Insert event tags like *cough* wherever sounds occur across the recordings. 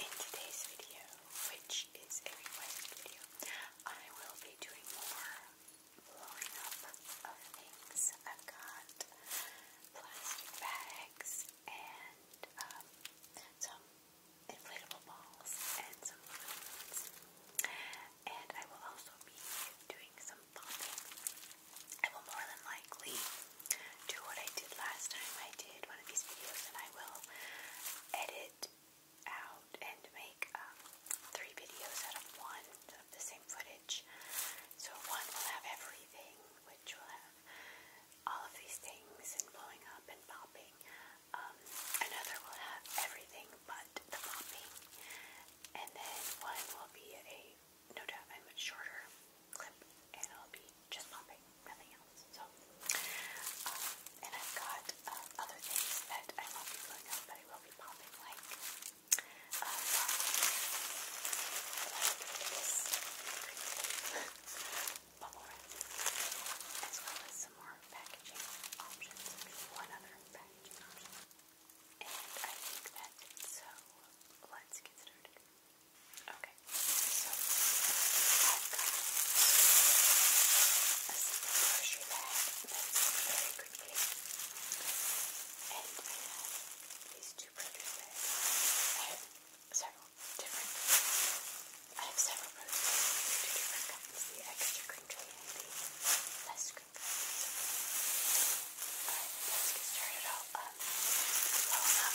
In today's video, which is a request video, I will be doing more blowing up of things. I've got plastic bags and um, some inflatable balls and some balloons. And I will also be doing some popping. I will more than likely do what I did last time I did one of these videos, and I will edit out and make um, three videos out of one of the same footage. So one will have everything, which will have all of these things and blowing up and popping. Um, another will have everything but the popping. And then one will be a, no doubt, a much shorter clip, and i will be just pumping, nothing else. So, uh, and I've got uh, other things that I won't be filling up, but I will be pumping, like uh, bubble wrap, as well as some more packaging options, one other packaging option. And I think that's so let's get started. Okay, Okay, so I've got a simple grocery bag that's very pretty, and I have these two produce bags. I have several different. I have several produce bags, two different kinds: the extra crinkly and the less crinkly. Alright, let's get started. I'll um, blow them up.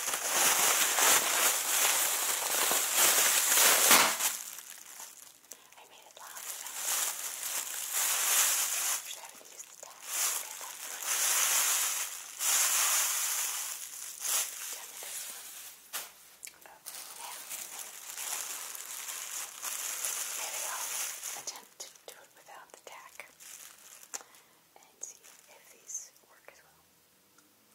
I made it loud enough. Actually, I haven't used the tag. Tell me this one. Oh, yeah. Maybe I'll attempt to do it without the tack and see if these work as well.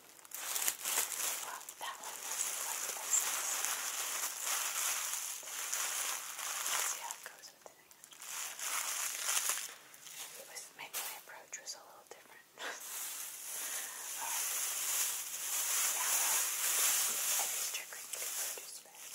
Well, that one doesn't quite make sense. Let's see how it goes with the next one. It was, maybe my approach was a little different. Alright. Now, uh, every sticker you can produce back. Now,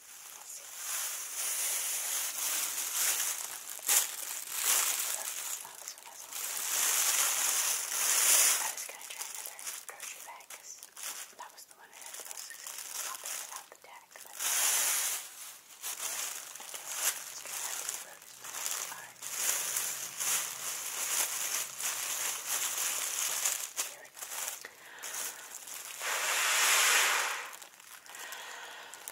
I was going to try another grocery bag because that was the one I had the most successful copy without the tag. But okay, let's try out these roses. Alright. Here we go.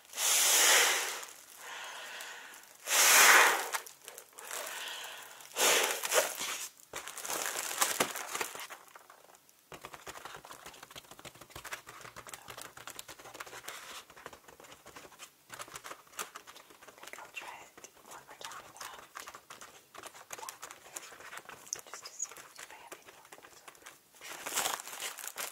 think I'll try it one more time without the black just to see if I have any more. Okay, so we're going with the deck. And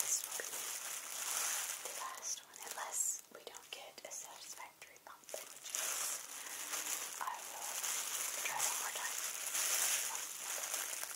this will be the last one, unless we don't get a satisfactory pop, which is I will try one more time.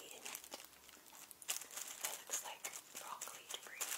debris in it. It looks like broccoli debris. No.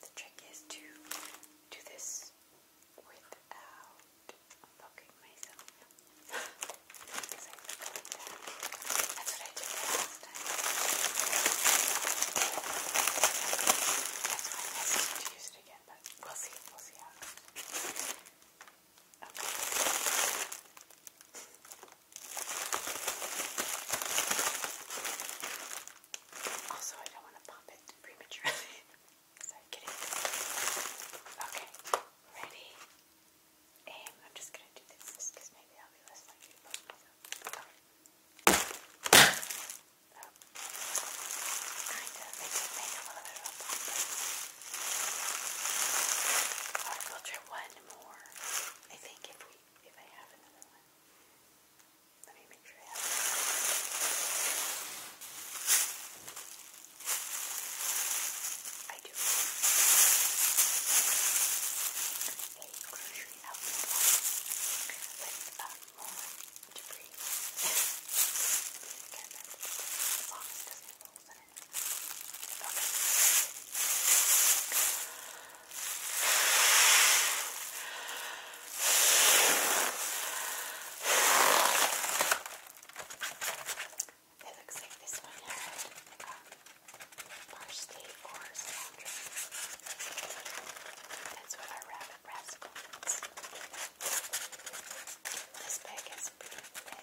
The trick is to do this without poking myself. Because I look that. That's what I did last time. That's why I need to use it again, but we'll see. We'll see how Also, I don't want to pop it prematurely. *laughs* So get it. Okay, ready? Aim. I'm just gonna do this just because maybe I'll be less likely to poke myself. Okay. Oh. Kind of. It did make a little bit of a pop. But we'll try one more. I think if we if I have another one. Let me make sure I have it. I do a grocery outlet with um, more debris. Again, that's as long as it doesn't roll in it. Okay. Okay, it looks like this one had um, parsley or cilantro. That's what our rabbit rascal is. This bag is pretty red.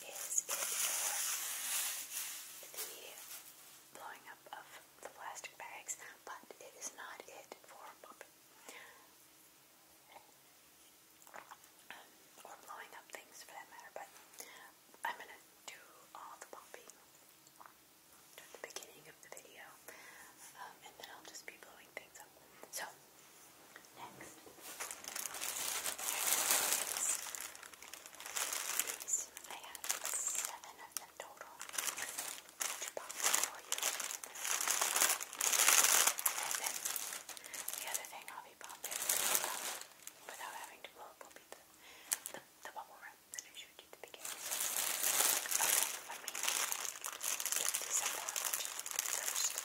is it for the blowing up of the plastic bags, but it is not it for bumping or blowing up things for that matter, but I'm gonna do all the bumping at the beginning of the video, um, and then I'll just be blowing things up. So, Next, these I have seven of them total. Each box for you. And then the other thing I'll be popping without having to blow up the, bubble wrap that I showed you at the beginning. Okay, let me get these up first.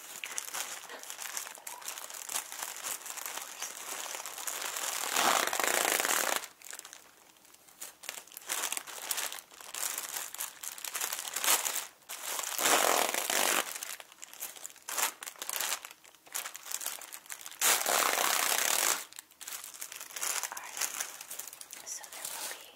so there will be seven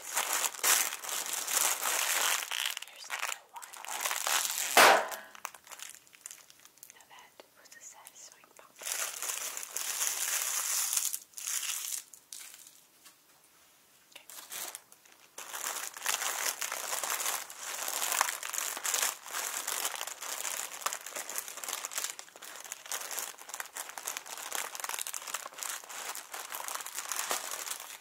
Here's another one. Now that was a satisfying pop. Okay. Okay,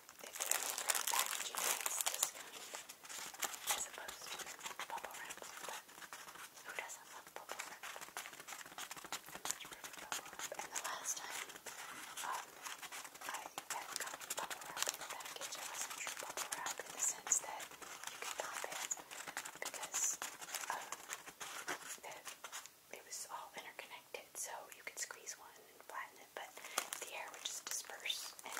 It's better for packaging that's this kind as opposed bubble wrap. who doesn't love bubble wrap? And the last time um, I had got bubble wrap in the wasn't true bubble wrap in the sense that you could pop it because um, it was all interconnected. So you could squeeze one and flatten it, but the air would just disperse and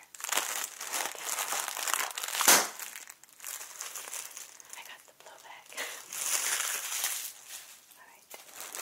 I got the blowback. *laughs* Alright, number Three.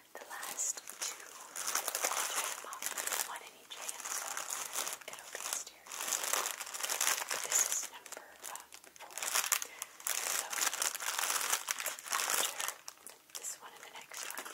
the last two, I'll try them out, one in each hand, so it'll be a stereo. But this is number um, four. So, after this one and the next one, is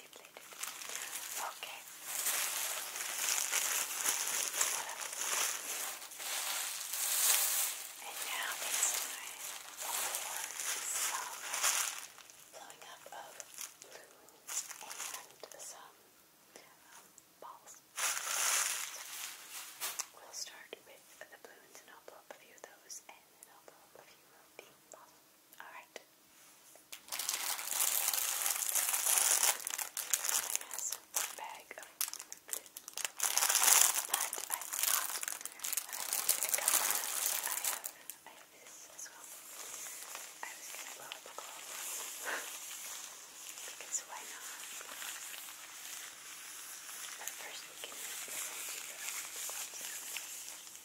deflated. Okay. And now it's time for blowing up of balloons We'll start with the balloons and I'll blow up a few of those and then I'll blow up a few of the balls. All right. I has a bag of food. But I thought when I went I have, this as well. I was going to blow up a globe. because why not? But first we can listen to the globe sounds.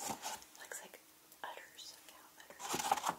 Looks like udders, cow udders.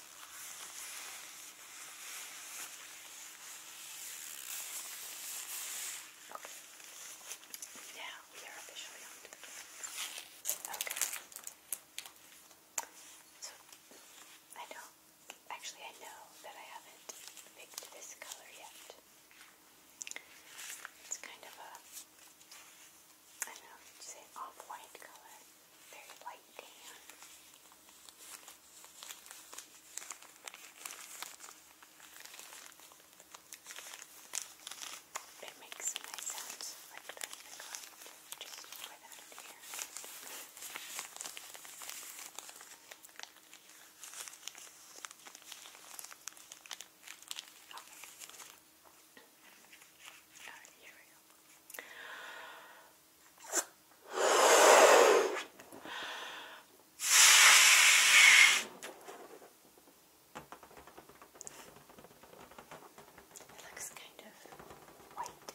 Okay. we are officially on Okay. So I do actually I know that I haven't picked this color yet. It's kind of a I don't know, it's an off-white color, very light tan. It makes some nice sounds Just pour that Alright, here we go. It looks kind of white,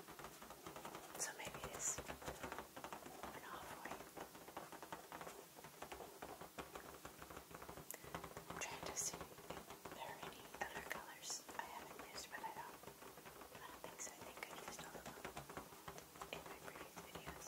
so maybe it is an off white. I'm trying to see if there are any any other colors I haven't used, but I don't, think so. I think I used all of them in my previous videos,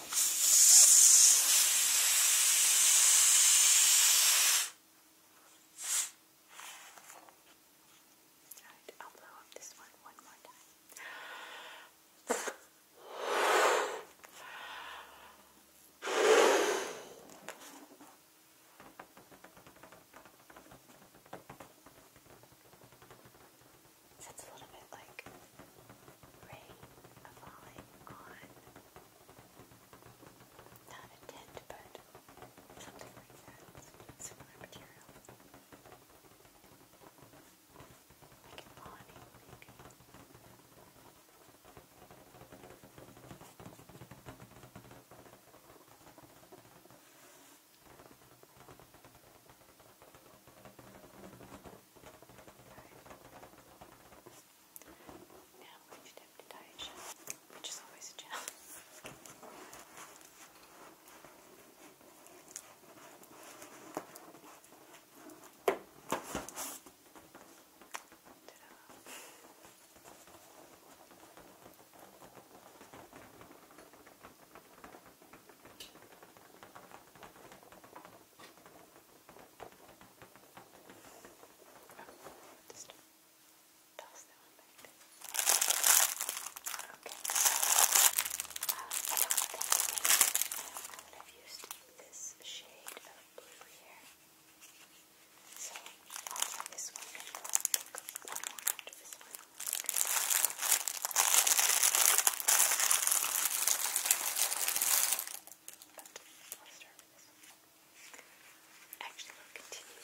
Right, I'll blow up this one one more time. Sounds a little bit like rain falling on not a tent, but something like that, similar material, like an awning, maybe. Now Right. Now I'm going to dip the digestion, which is always a challenge. Now just toss that one back. Okay, so um, I don't think I would have used this shade of blue here. So I'll try this one and go one more after this one. But I'll start Actually, we'll continue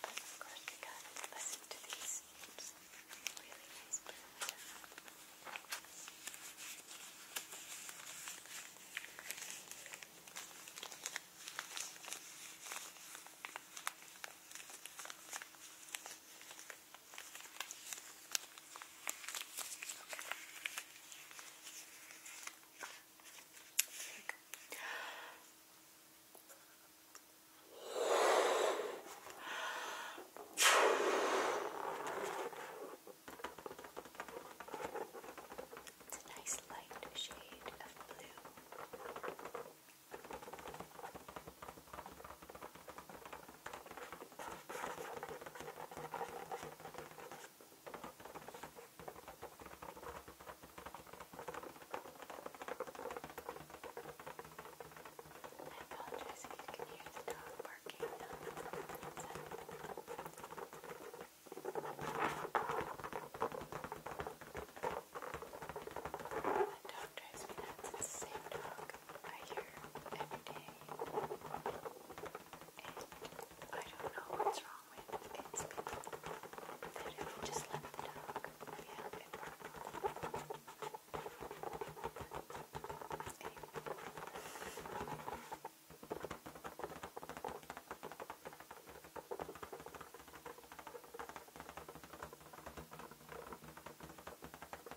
But of course, we gotta listen to these really nice birds. It's a nice light shade of blue apologize if you can hear the dog barking. The dog dog drives me nuts. the same dog I hear every day. And I don't know what's wrong with it. people. That if we just let the dog be out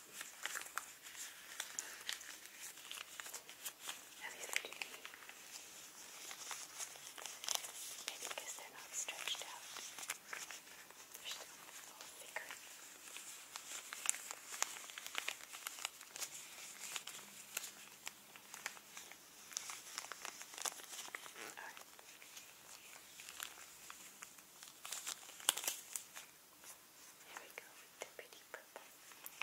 Now these are too many. Maybe because they're not stretched out. They're still a little thicker. Alright. There we go with the pretty purple,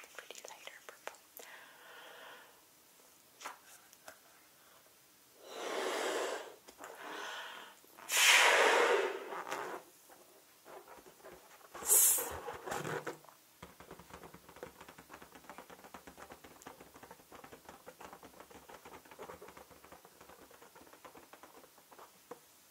the pretty lighter purple. There we go.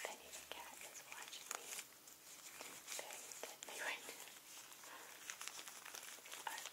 Benny the cat is watching me very intently right now. *laughs* Um,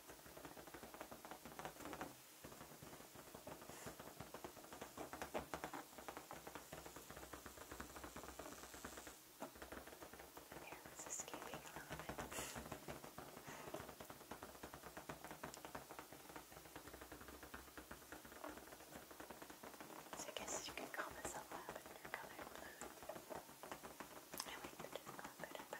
Here, it's escaping a little bit. so I guess you could call this a lavender colored blue. I wait, it didn't go up, but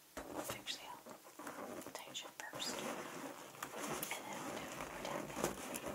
Actually, I'll touch it first. And then I'll do more tapping. There.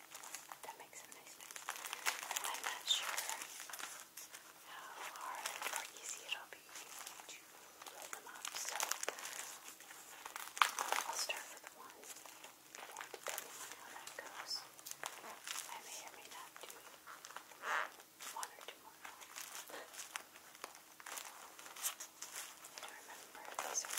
That makes a nice noise. I'm not sure how hard or easy it'll be to load them up, so I'll start with one, depending on how that goes, I may or may not do one or two more. I do remember. These are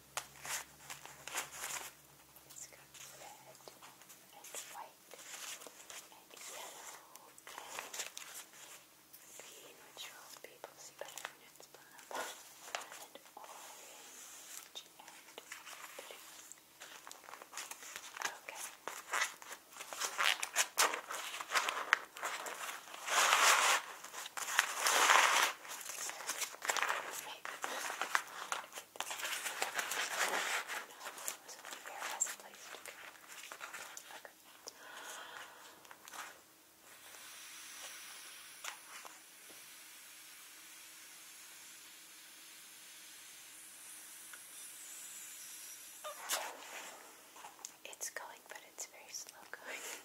It's red and white and yellow and green, people see better when it's blown and orange and blue. Okay. It's going, but it's very slow going. *laughs*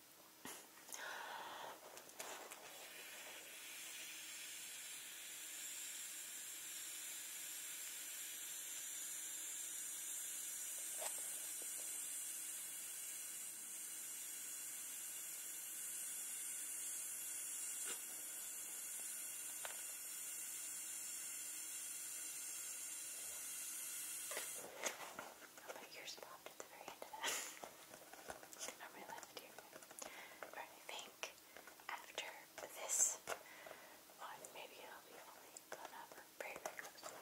I'll put yours popped at the very end of that. *laughs* i think after this one, maybe I'll be only gone up very, very close.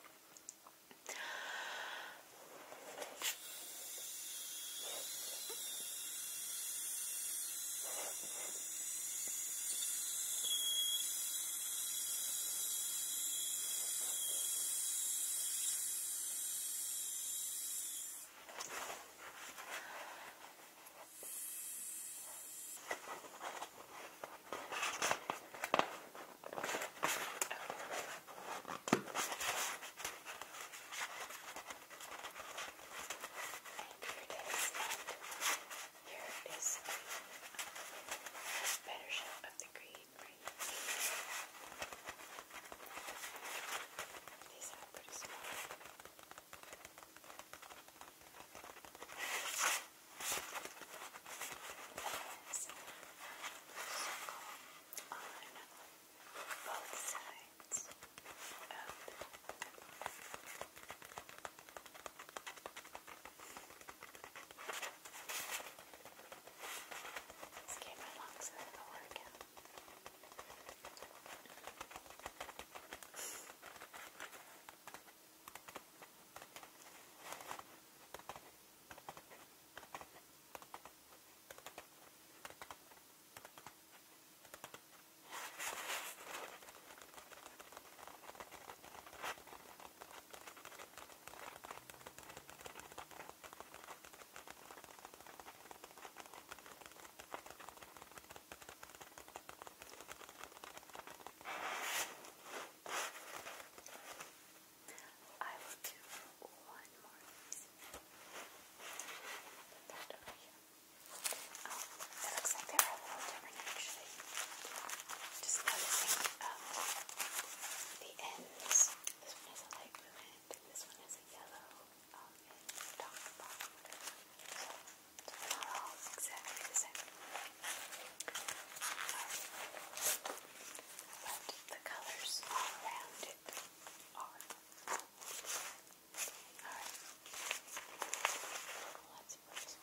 Thank you and here is the better shot of the green. These are pretty small. There's a on both sides of Let's get my lungs into the workout. I will do one more of Put that over here. Oh, it looks like they're a little different actually. Just noticing um, the ends. This one is a light blue and this one is a yellow um, and dark bottom. So, they're not all exactly the same. Um, but the colors all around it are. Alright. Let's put this one.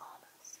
Almost.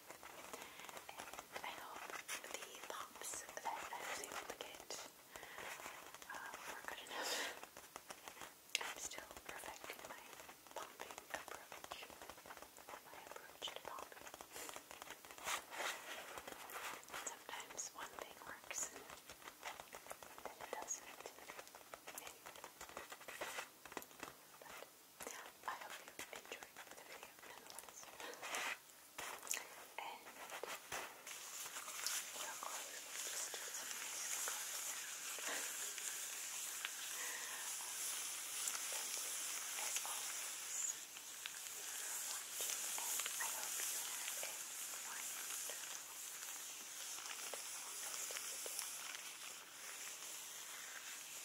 And I hope the pops that I was able to get uh, were good enough. I'm still perfecting my popping approach. My approach to popping. Sometimes one thing works and then it doesn't. I hope you enjoyed the video nonetheless. and we're Just do some nice close sound. Thank you, as always, for watching, and I hope you have a wonderful, wonderful